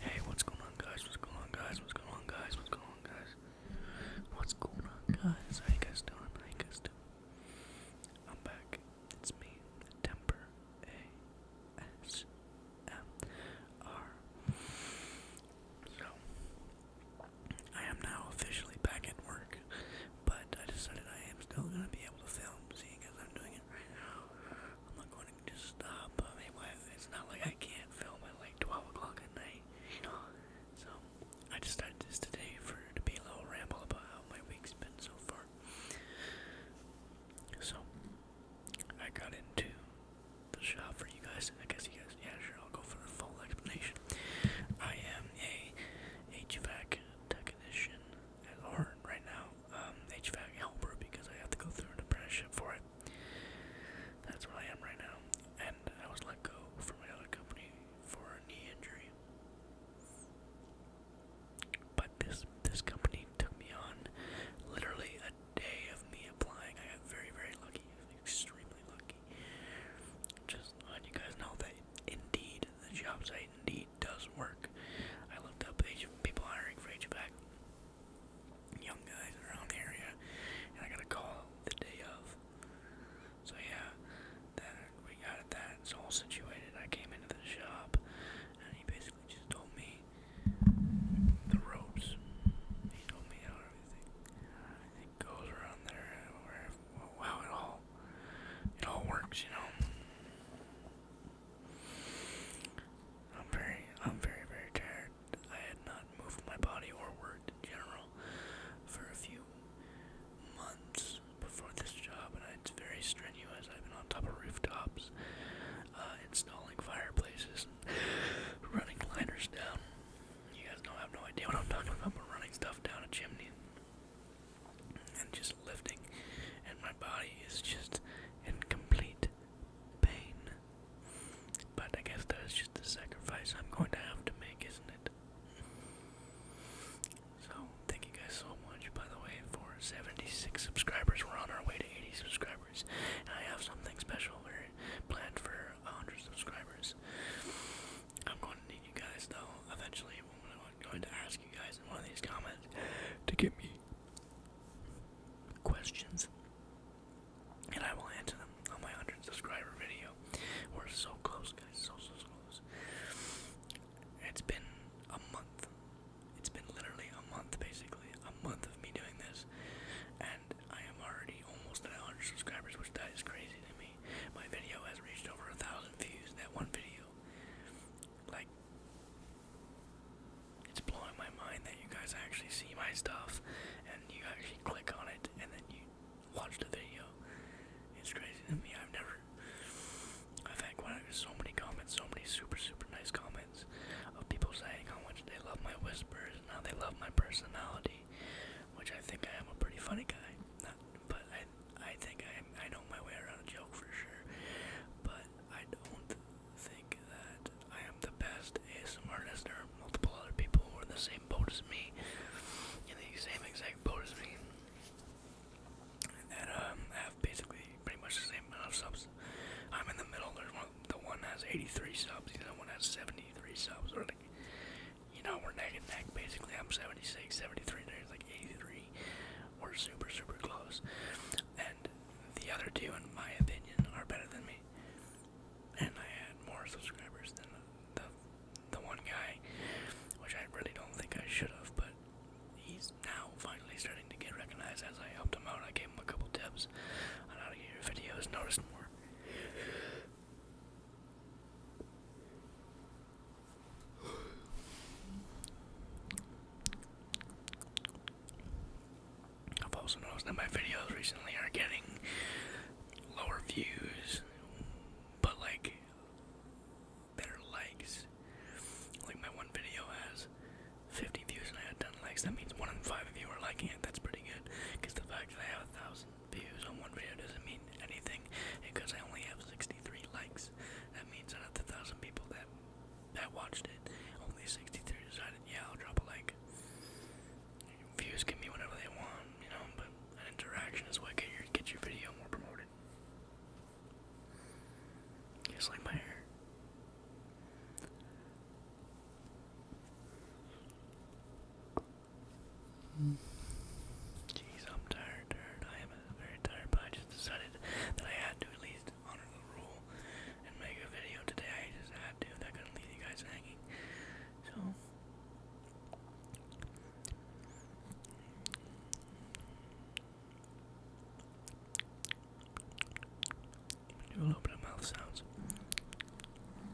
Hey, what's going on, guys? What's going on, guys? What's going on, guys? What's going on, guys? What's going on, guys? How you guys doing? How you guys doing? I'm back. It's me, Temper A S M R. So I am now officially back at work, but I decided I am still gonna be able to film, seeing as I'm doing it right now. I'm not going to just stop. I it's not like I can't film at like 12 o'clock at night, So I just today for to be a little ramble about how my week's been so far. So I got into the shop for you guys. I guess you guys, yeah, sure. I'll go for a full explanation. I am a HVAC technician at Lauren right now, um, HVAC helper, because I have to go through an apprenticeship for it. That's where I am right now, and I was let go from another company for a knee injury. But this this company took me on literally a day of me applying. I got very very lucky, extremely lucky. Just let you guys know that indeed the job site indeed actually does work. I looked up people hiring for HVAC, young guys around the area, and I got a call the day of. So yeah, that we got it. That's all situated. I came into the shop, and he basically just told me the ropes. He told me how everything, uh, goes around there, wow, it all it all works, you know. I'm very, I'm very, very tired. I had not moved my body or worked in general for a few months before this job, and it's very strenuous. I've been on top of rooftops, uh, installing fireplaces, and running liners down. You guys don't have no idea what I'm talking about, but running stuff down a chimney and just lifting, and my body is just in complete pain. But I guess that is just the sacrifice I'm going to have to make, isn't it? So, thank you guys so much, by the way, for 76 subscribers. We're on our way to 80 subscribers. And I have something special planned for 100 subscribers. I'm going to need you guys though eventually I'm going to ask you guys in one of these comments to give me questions and I will answer them on my 100 subscriber video. We're so close guys, so so close. It's been a month. It's been literally a month basically, a month of me doing this and I am already almost at 100 subscribers which that is crazy to me. My video has reached over a thousand views. That one video, like, it's blowing my mind that you guys actually see my stuff and you actually click on it and then you watch the video. It's crazy to me. I've never. I've had so many comments, so many super super nice comments of people saying how much they love my whispers and how they love my personality, which I think I am a pretty funny guy. but I I think I I know my way around a joke for sure, but I don't think that I am the best ASMR listener. Multiple other people who are in the same boat as me, in the same exact boat as me, that um have basically pretty much the same amount of subs. I'm in the middle. There's one. The one has 83 subs. The other one has 73 subs. Or like you know, we're neck and neck basically. I'm 76, 73, there's like 83. We're super, super close. And the other two, in my opinion, are better than me. And I had more subscribers than the, the, one guy, which I really don't think I should have, but he's now finally starting to get recognized as I helped him out. I gave him a couple tips and now to videos noticed more. I've also noticed that my videos recently are getting lower views, but like better likes. Like my one video has 50 views and I had 10 likes. That means one in five of you are liking it. That's pretty good. Because the fact that I have a thousand views on one video doesn't mean anything because I only have 63 likes. That means out of the thousand people that that watched it, only 63 decided, yeah, I'll drop a like. Views can be whatever they want, you know, but an interaction is what can get your video more promoted. Just like my hair. Jeez, I'm tired, tired. I am very tired, but I just decided that I had to at least honor the rule and make a video today. I just had to. That gonna leave you guys hanging. So. Do a little bit of mouth sounds.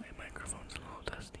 My microphone's a little dusty.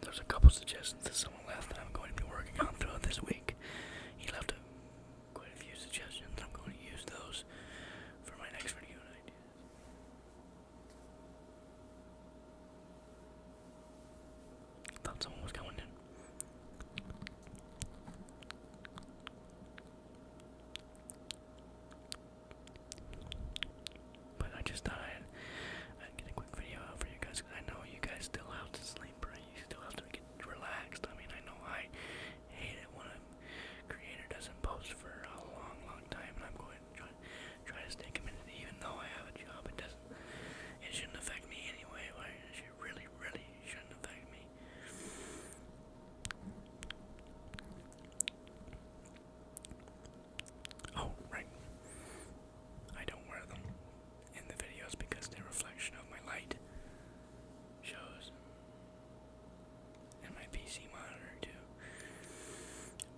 There's a couple suggestions that someone left that I'm going to be working on throughout this week. He left quite a few suggestions. I'm going to use those for my next video ideas. Thought someone was coming in. But I just thought I'd, get a quick video out for you guys because I know you guys still have to sleep, right? You still have to get relaxed. I mean, I know I hate it when a creator doesn't post for a long, long time, and I'm going to try, to stay committed even though I have a job. It doesn't, it shouldn't affect me anyway. Right? It should really, really shouldn't affect me. Oh, right. I don't wear them in the videos because the reflection of my light shows. in my PC monitor too.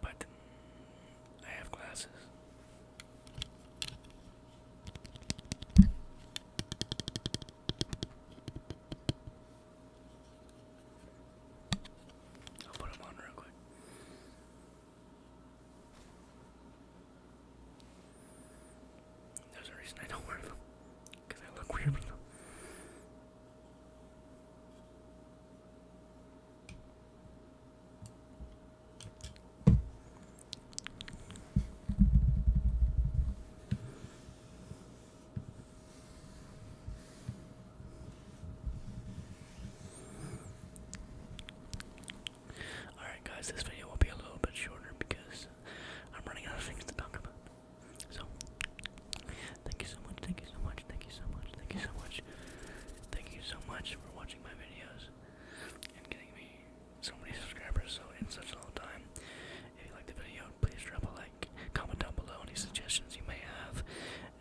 But I have glasses. I'll put them on real quick. There's a reason I don't wear them, because I look weird Alright, guys, this video will be a little bit shorter because I'm running out of things to talk about. So, thank you so much, thank you so much, thank you so much, thank you so much, thank you so much for watching my videos and getting me so many subscribers so in such a long time. If you like the video, please drop a like comment down below any suggestions you may have,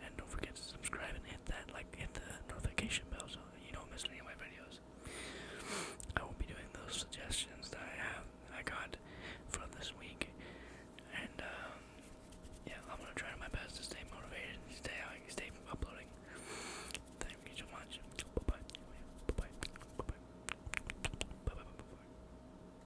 and don't forget to subscribe and hit that like hit the notification bell so you don't miss any of my videos. I will be doing those suggestions that I have I got from this week, and um, yeah, I'm gonna try my best to stay motivated, and stay out, uh, stay uploading. Thank you so much. Bye bye. Bye bye. Bye bye. Bye bye. bye, -bye.